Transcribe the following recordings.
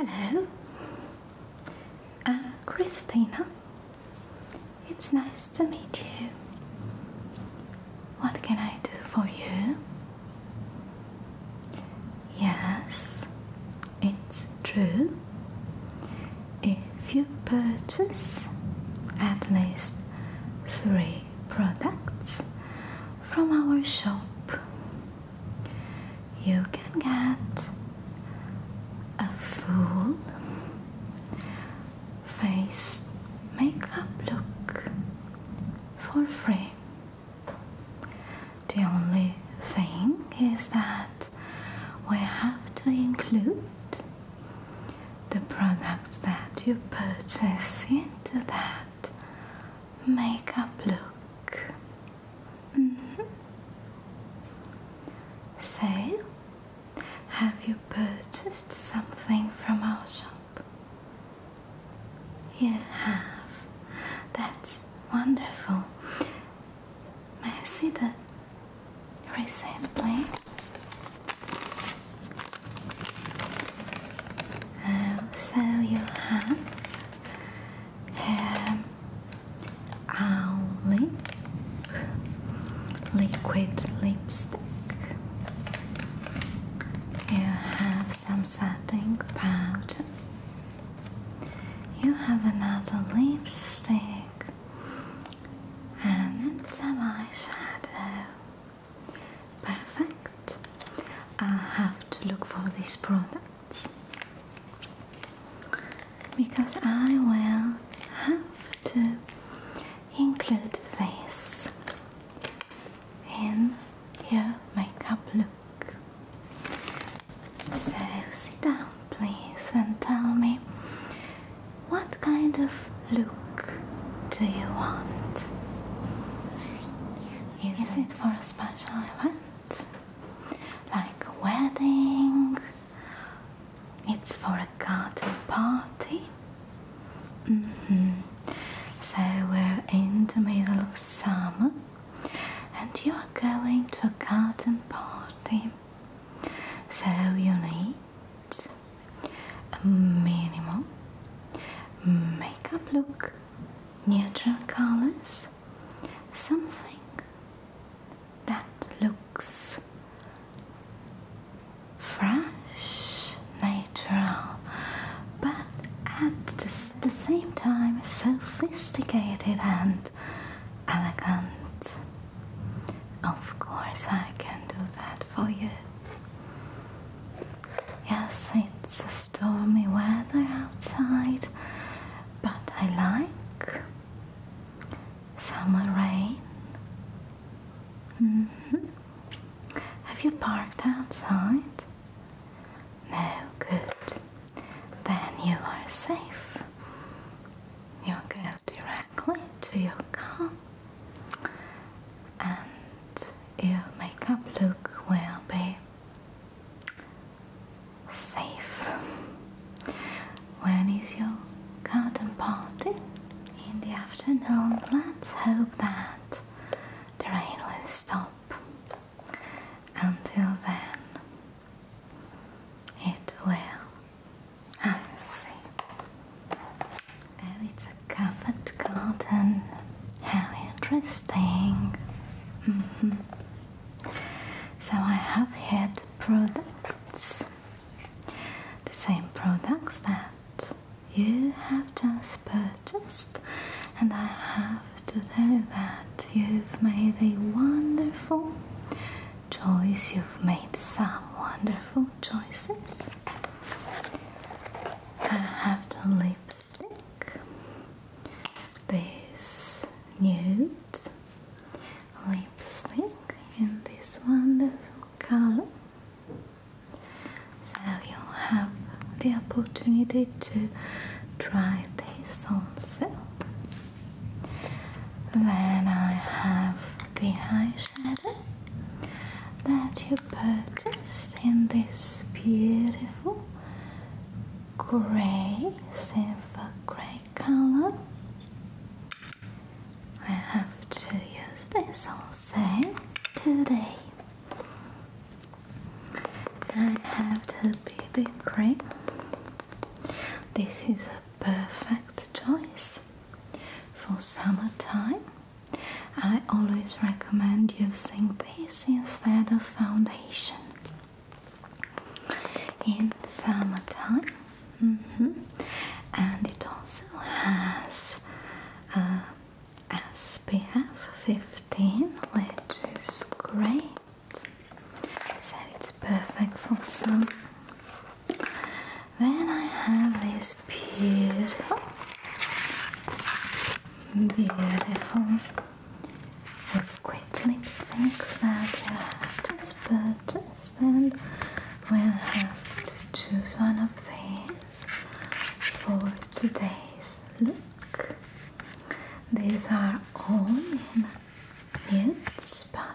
Hello, uh, Christina. It's nice to meet you. What can I do for you? Yes, it's true if you purchase at least three products from our shop, you can get a full face makeup look for free. The only thing is that we have to include the products that you purchase into that makeup look. Mm-hmm. Say, have you purchased something from our shop? You have. That's wonderful. May I see the receipt, please? Oh, so you have um, only um, liquid lipstick. You have some setting powder. You have another lipstick and some eyeshadow. Perfect. I have to look for these products because I will have to include this in your makeup look. So sit down, please, and tell me what kind of look do you want? Is, it for a special event? Like a wedding? It's for a garden party? -hmm. So we're in the middle of summer and you are going to a garden party so you need a minimal makeup look neutral colors something that looks fresh natural but at the same time sophisticated and elegant of course, I can do that for you. Yes, it's a stormy weather outside, but I like summer rain. Mm-hmm. Have you parked outside? No, good. Then you are safe you go directly to your car and your makeup look will be safe. When is your garden party? In the afternoon, let's hope that the rain will stop. Until then, it will. I see. Oh, it's a covered garden. How interesting. Mm-hmm. So I have here the products. The same products that you have just purchased, and I have to tell you that you've made a wonderful choice. You've made some wonderful choices. I have the lipstick, this nude lipstick in this wonderful color. So you have the opportunity to try this on yourself. Then I have the eyeshadow that you purchased in this beautiful grey, silver grey colour. I have to use this also today. I have the BB cream. This is a perfect choice for summertime. I always recommend using this instead of foundation in summertime, mm-hmm. and it also has uh, SPF 15, which is great so it's perfect for some. Then I have this beautiful, beautiful liquid lipsticks that you just purchased, and we'll have to choose one of these for today's look. These are all in nudes, but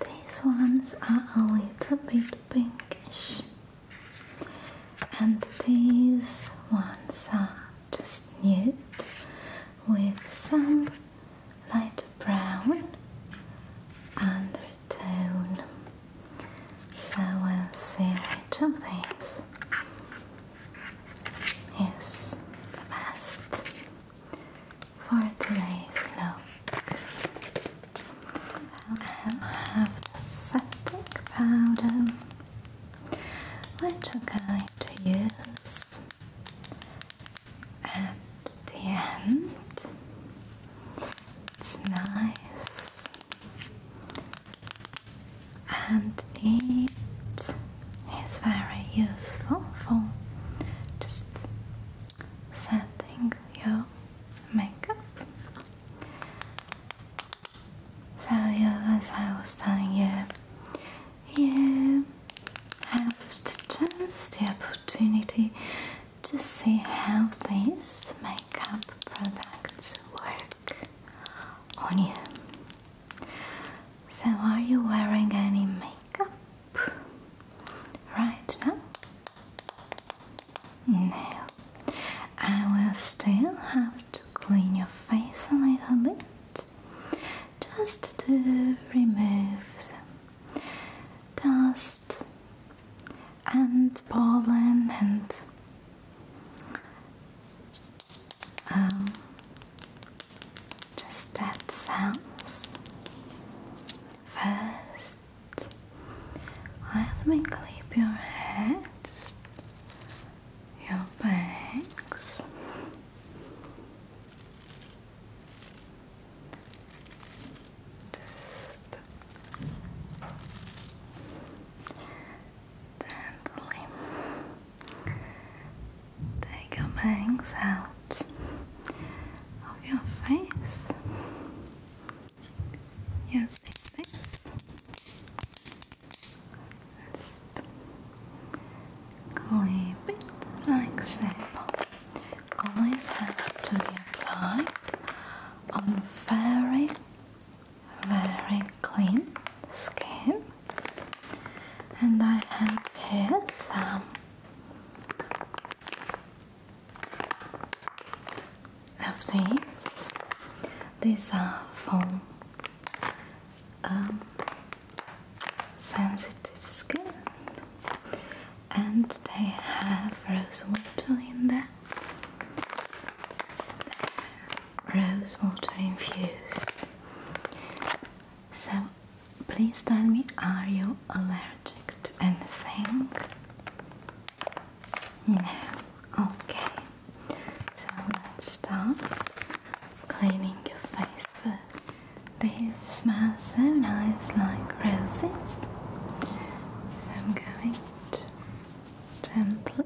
these ones are a little bit pinkish. And these ones are just nude with some light brown undertone. So I will see which of these is best for today's look. I have the septic powder, which I'm going to use at the end. It's nice and neat. It's very useful for just setting your makeup. So as I was telling you, you have to chance, the opportunity to see how these makeup products work on you. So, are you wearing any makeup? Right now? No. I will still have to clean your face a little bit just to remove dust and pollen and um, just that sounds. First, I will clip your heads, your backs. Just gently Take your bangs out of your face using this. Just clip it like so. Always has to be applied on very, very clean skin and I have here some of these. These are for um, sensitive skin, and they have rose water in there. Rose water infused so, please tell me, are you allergic to anything? No. Okay. So let's start cleaning your face first. These smell so nice, like roses. So I'm going to gently,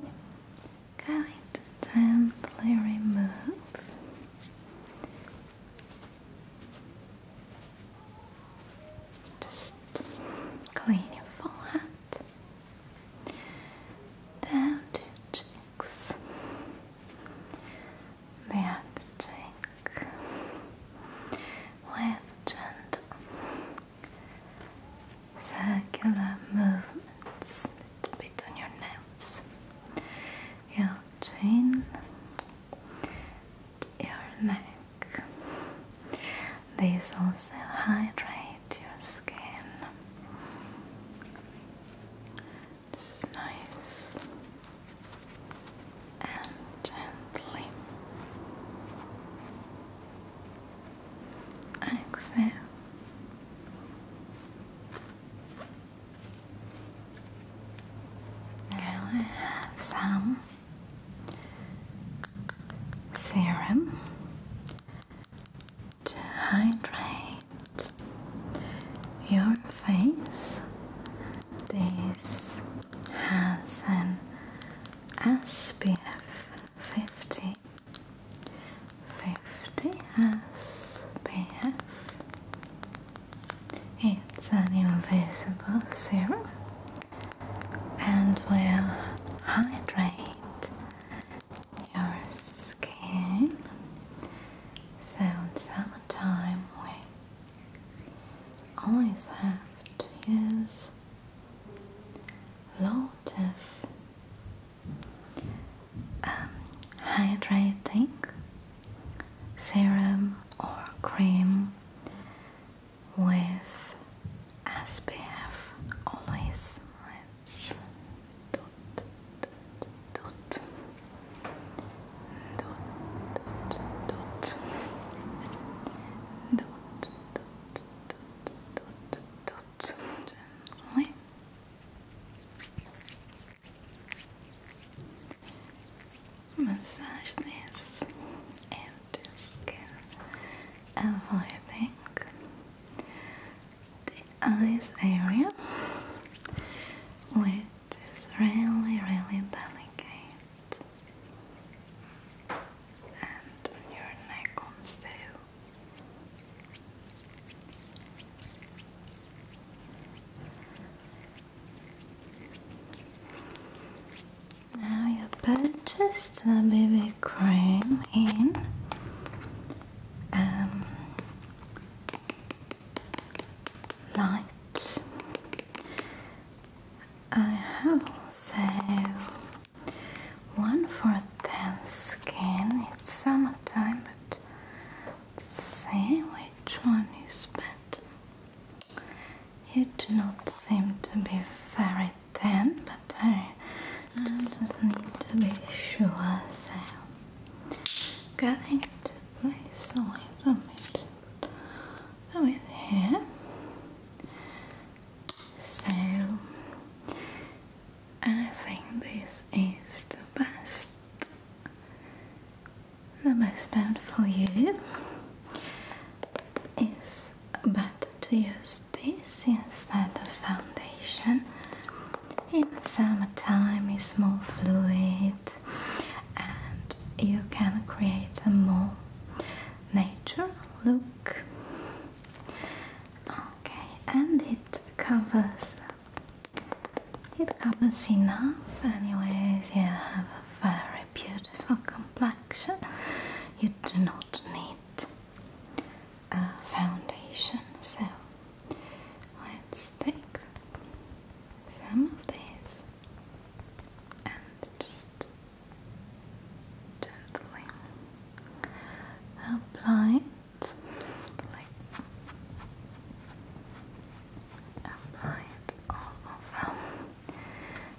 going to gently remove just clean your forehead down to your cheeks. The other with gentle circular movements little your nose, your chin, your neck. These also hydrates your skin. Just nice and gently exhale now I have some serum to hydrate your face. This has an SPF 50. 50 SPF it's an invisible serum and will hydrate your skin so in summertime we always have to use a lot of um, hydrating serum or cream with SPF always. Massage this into skin, avoiding the eyes area, which is really, really delicate, and your neck also. Now you put just a BB cream in. Um, light. I have also one for thin skin. It's summertime, but see which one is better. You do not seem to be very thin, but I just mm. need to be sure, so I'm going to place a little bit with here. So I think this is the best the best out for you is better to use this instead of foundation in the summertime it's more fluid and you can create a more natural look okay and it covers it covers enough. Anyways, you have a very beautiful complexion. You do not need a foundation. So let's take some of these and just gently apply like apply all over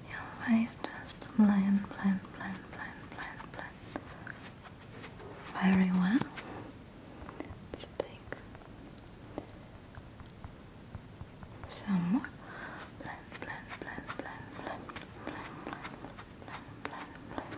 your face just blend, blend, blend, blend, blend, blend very well let take some more blend, blend, blend, blend, blend, blend, blend, blend, blend.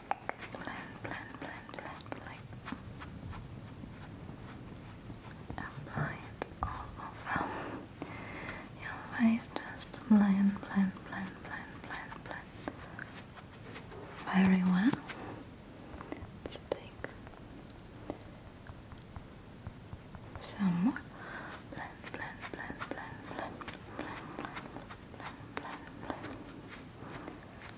blend, blend, blend, blend, blend. Apply it all over your face. Just blend, blend, blend, blend, blend, blend. Very well. take some more. blend, blend, blend, blend, blend, blend, blend, blend, blend.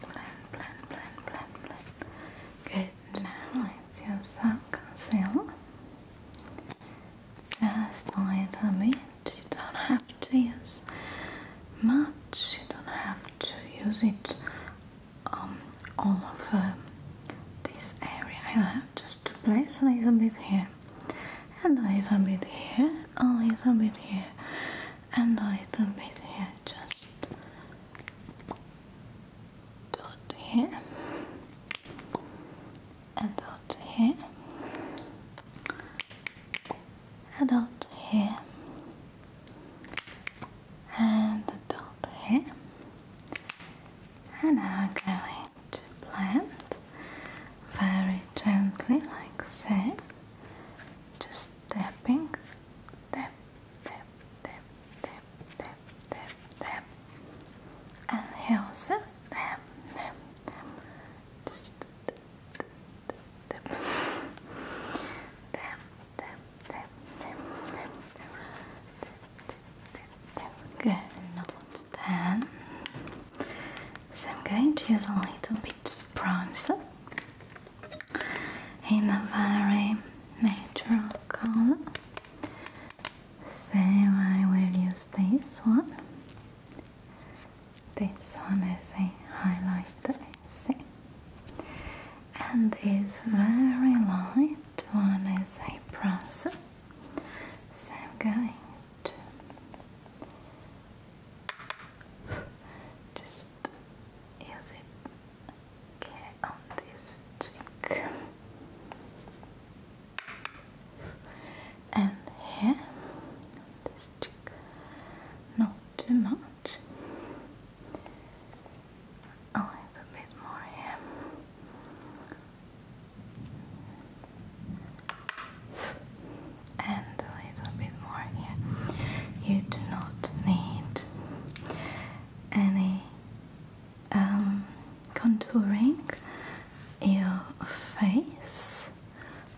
blend, blend, blend, blend, blend. Good, now let's use that concealer. Just a little bit. You don't have to use much. You don't have to use it all over this area. just to place a little bit here, and a little bit here, a little bit here, and a little bit here just dot here and dot here a dot here and a dot here and I'm going to blend very gently like so just tapping tap tap tap tap tap tap tap and tap tap tap just tap tap tap tap tap tap tap tap good not to so I'm going to use a little bit of bronzer in a very natural color. So I will use this one. This one is a highlighter, see? And is very light one is a bronzer. So I'm going just use it on this cheek. And here, this cheek, not too much. Oh, I have a bit more here and a little bit more here. You do not need any um, contouring. Your face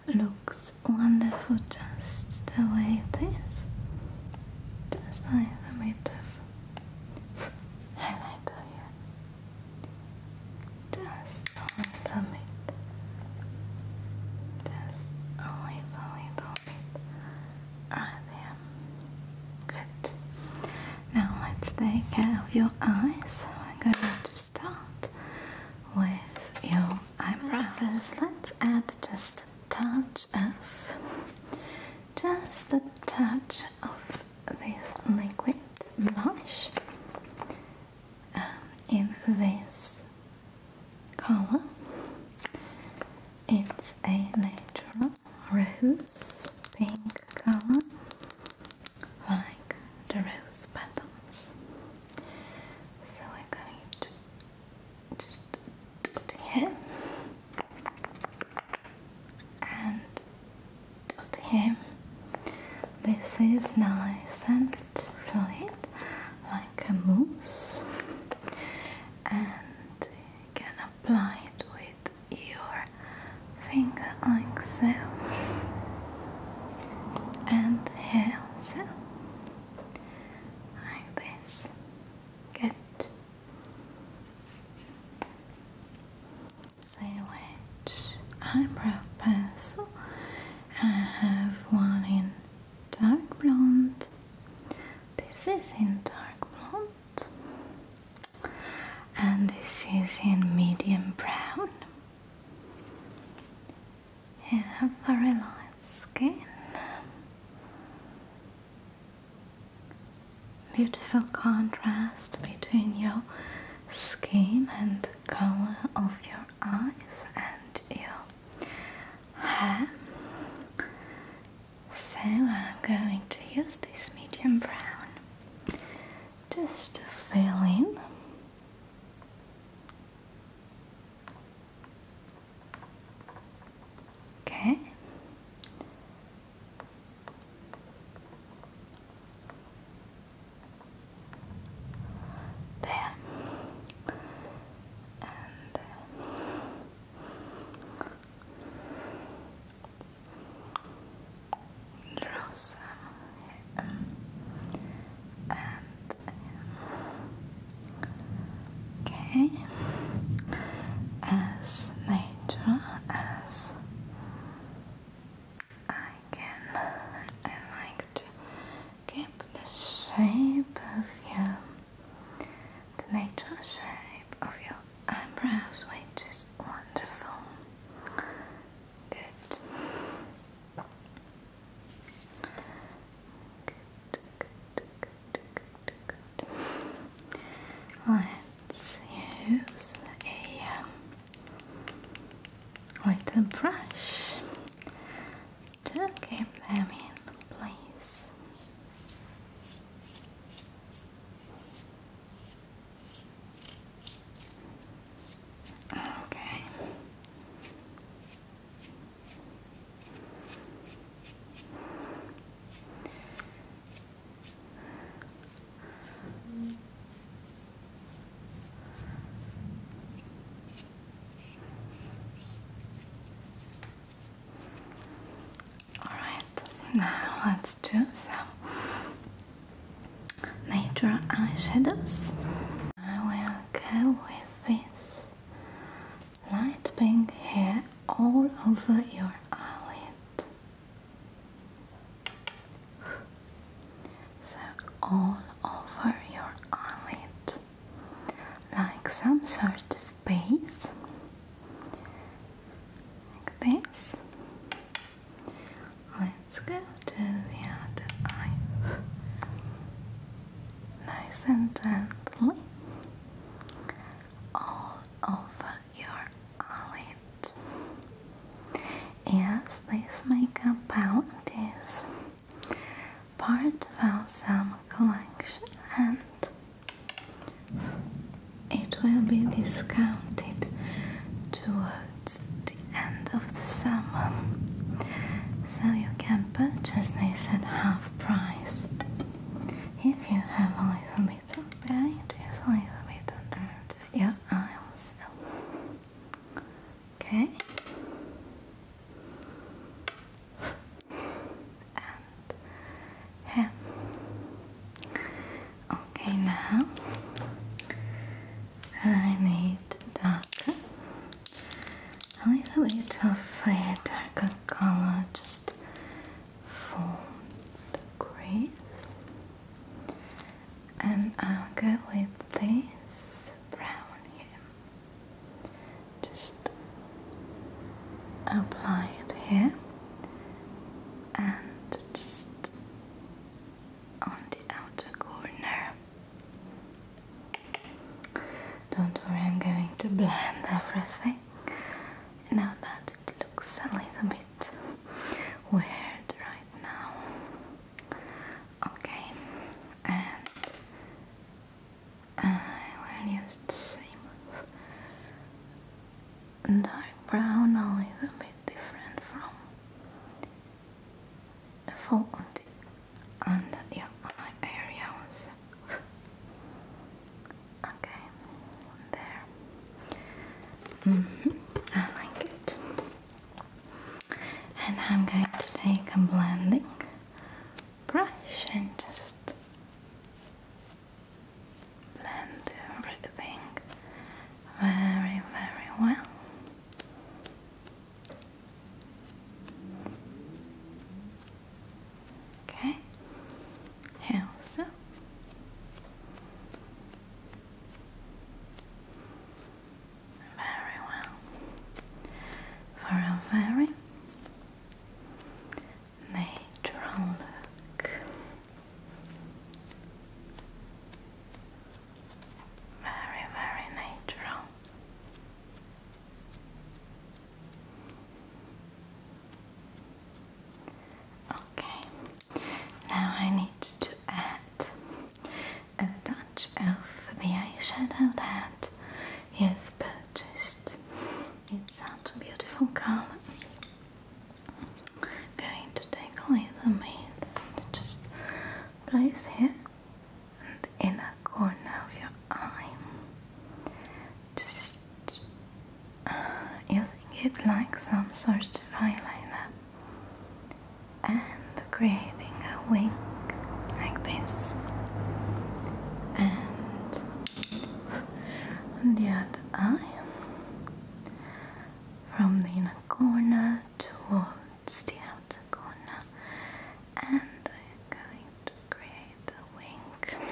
looks wonderful just the way it is. Just a little bit of highlighter here. Just a little bit. Just a little, little bit. I am good. Now let's take care of your eyes. We're going to start with your eyebrows. let let's add just a touch of, just a touch of this liquid blush um, in this color. It's a natural rose pink color, like the rose petals. So I'm going to just put him and put him. This is nice and fluid like a mousse and you can apply it with your finger like so and here also like this good see which eyebrow pencil I have one in dark blonde. This is in dark blonde. And this is in medium brown. You have very light skin. Beautiful contrast between your skin and color of your eyes and your hair. So I'm going to use this medium brown just to fill in. Okay there and there. Uh, and uh, okay as natural as I again. I like to keep the shape of your, the natural shape of your eyebrows, which is wonderful. Good. Let's use a um, with a brush to keep them in place. Okay. Alright, now let's do some nature shadows. I will go with this light pink here all over your eyelid so all over your eyelid like some sort of base like this let's go to the other eye nice and gently all over your eyelid Yes, these makeup palette is part of our summer collection and it will be discounted towards the end of the summer. So you can purchase these at half price. If you have a little bit of paint, it's a little bit under your eyes. Okay. And here. Okay, now I need darker, a little bit darker color just for the crease and I'll go with this brown here. Just apply it here and just on the outer corner. Don't worry, I'm going to blend everything now that looks a little bit weird right now. Okay, and I uh, will use the same dark brown, a bit different from the the, on the eye area Okay, there. Mm-hmm, I like it and I'm going to take a blending brush and just blend everything very, very well. Okay, here also. Very well. For a very natural look. Very, very natural. Okay, now I need to add a touch of the eyeshadow that you've purchased. It's such a beautiful color. going to take a little bit and just place here and in a corner of your eye. Just uh, using it like some sort of eyeliner and creating a wink like this and on the other eye from the inner corner towards the outer corner and I am going to create a wing.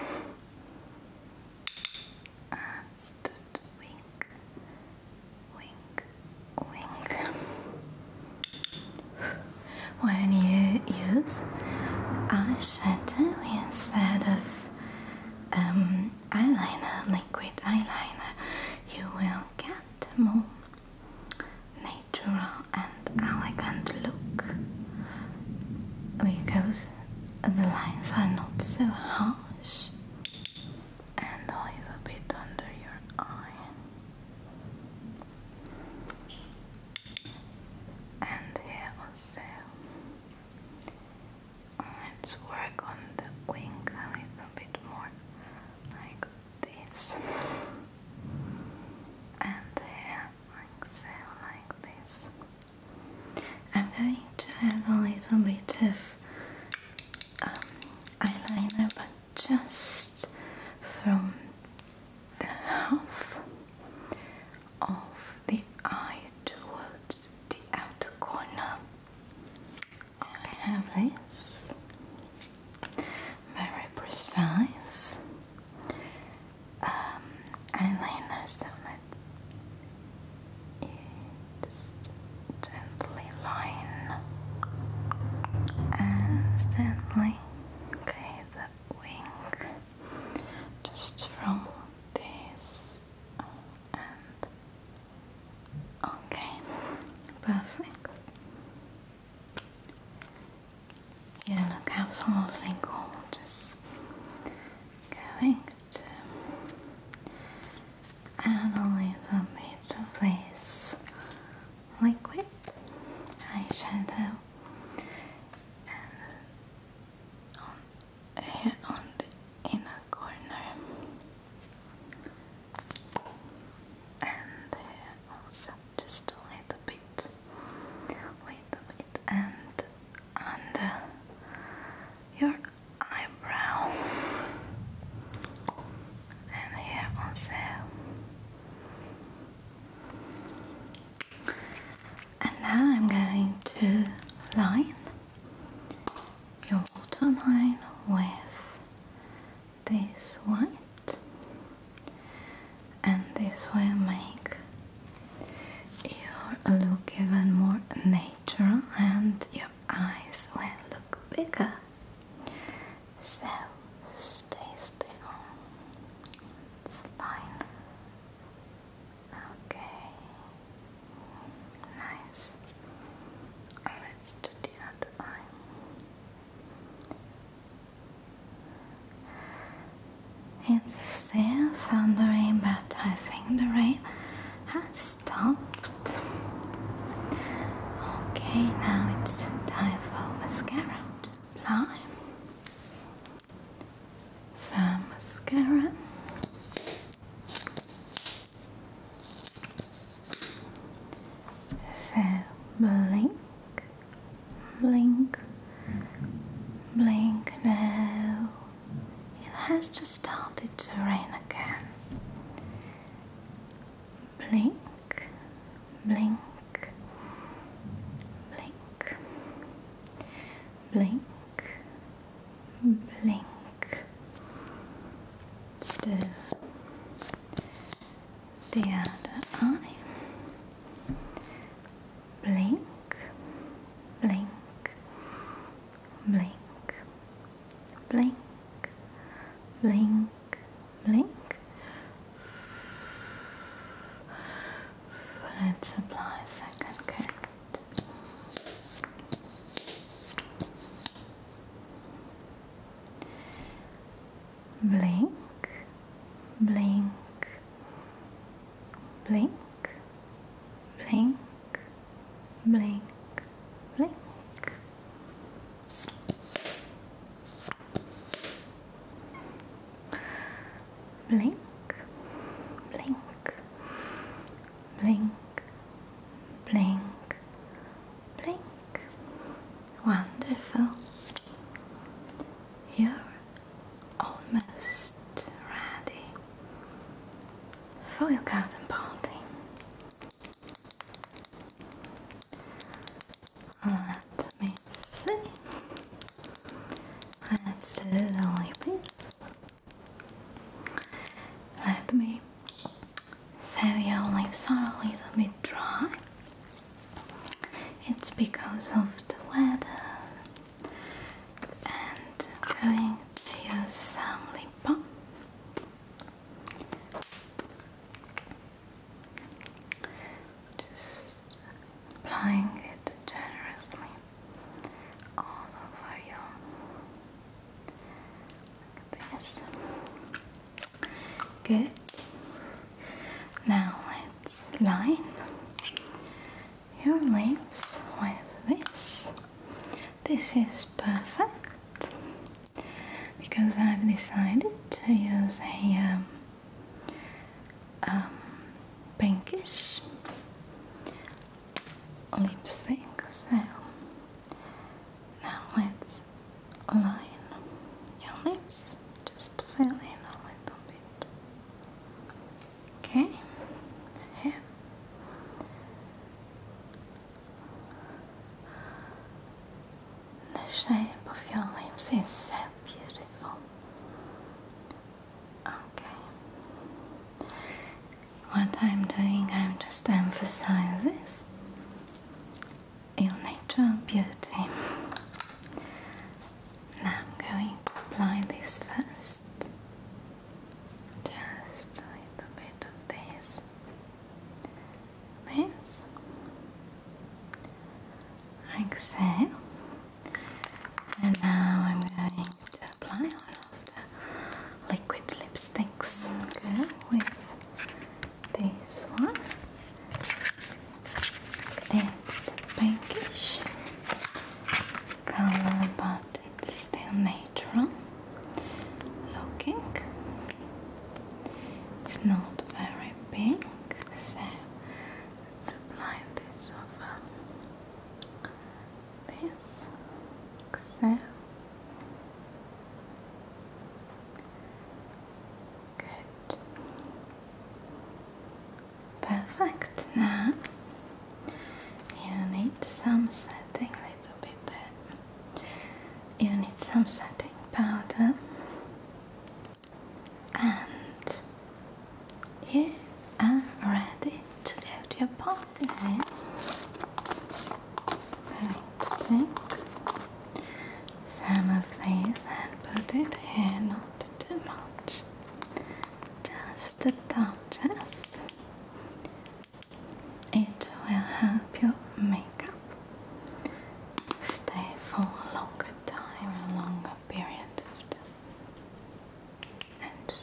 That's the wing wink, wink. When you use eyeshadow instead of um, eyeliner, liquid eyeliner, you will get more natural and elegant look because the lines are not so harsh and a little bit under your eye and here also let's work on the wing a little bit more like this and here like this I'm going to add a little bit of um, eyeliner just from the half of the eye towards the outer corner. I have this very precise um, eyeliner, so let's just gently line and gently create the wing just from this and okay perfect you look absolutely gorgeous going to and only the middle place liquid eyeshadow on, the inner corner and just a little bit little bit and under your eyebrow and here also and now I'm going to line your waterline with this white and this will make your look even more natural and your eyes will look bigger so stay still. It's fine. Okay. Nice. Let's oh, do the other eye. It's still thundering, but I think the rain has stopped. Okay, now it's time for mascara to apply. Some mascara. So blink, blink, blink now. It has just started to rain again blink, blink, blink, blink, blink. Still the other eye. Blink, blink, blink, blink, blink, blink. Let's apply a second coat. Blink, blink, blink, blink, blink, blink. Blink, blink, blink, blink, blink. Wonderful. You're almost ready for your garden party. Let me see. Let's do the lips. Let me. So your lips are a little bit dry. It's because of the weather. And going to use some lip balm. Just applying it generously all over you. Look at this. Good. Now let's line your lips with this. This is perfect because I've decided to use a um, um, pinkish lipstick. So now let's line your lips, just fill in a little bit. Okay, here. The shape of your lips is so beautiful. Okay. What I'm doing, I'm just emphasizing Your natural beauty. Now I'm going to apply this first. Just a little bit of this this like and now I'm going to apply one of the liquid lipsticks go with this one it's pinkish color but it's still natural looking. It's not very big, so let this over this. So. Good. Perfect. Now you need some setting a little bit you need some setting powder and you are ready to go to your party. Right, take some of these and put it here, not too much, just a touch of it will help your makeup stay for a longer time, a longer period of time. And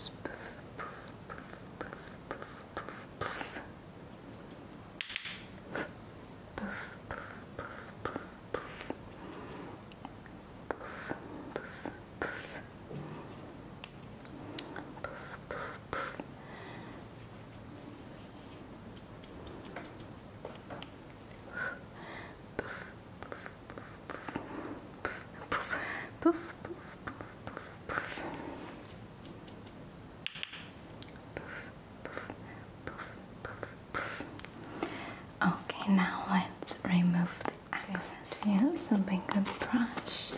Okay, now let's remove the excess. Yes, a bigger brush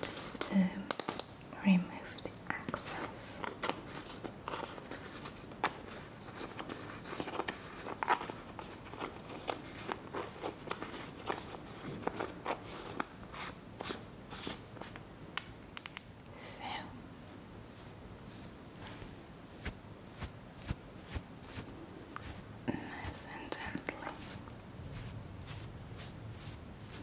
just to remove the excess. So nice and gently.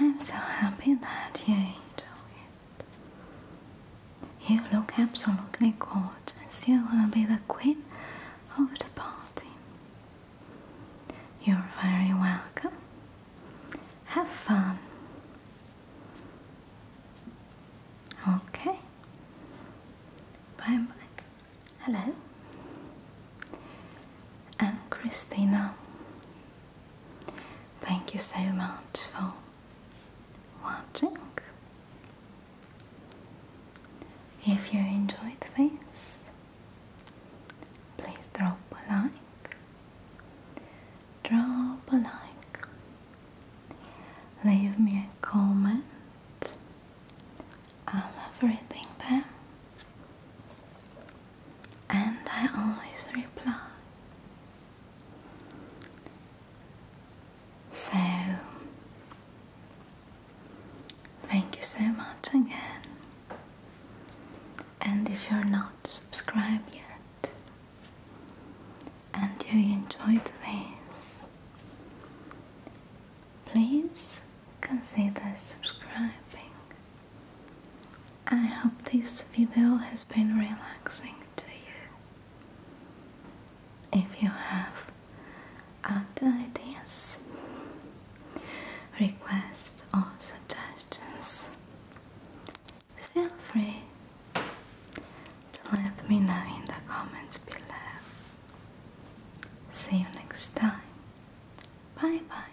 I'm so happy that you enjoy it. You look absolutely gorgeous. You will be the queen of the party. You're very welcome. Have fun. Okay. Bye bye. Hello. I'm Christina. Thank you so much for watching. If you enjoyed this, please drop a like. Drop a like. Leave me a comment. I love reading them and I always reply. So, thank you so much again. And if you're not subscribed yet and you enjoyed this, please consider subscribing I hope this video has been relaxing to you. If you have other ideas, requests, or suggestions, feel free to let me know in the comments below. See you next time. Bye bye.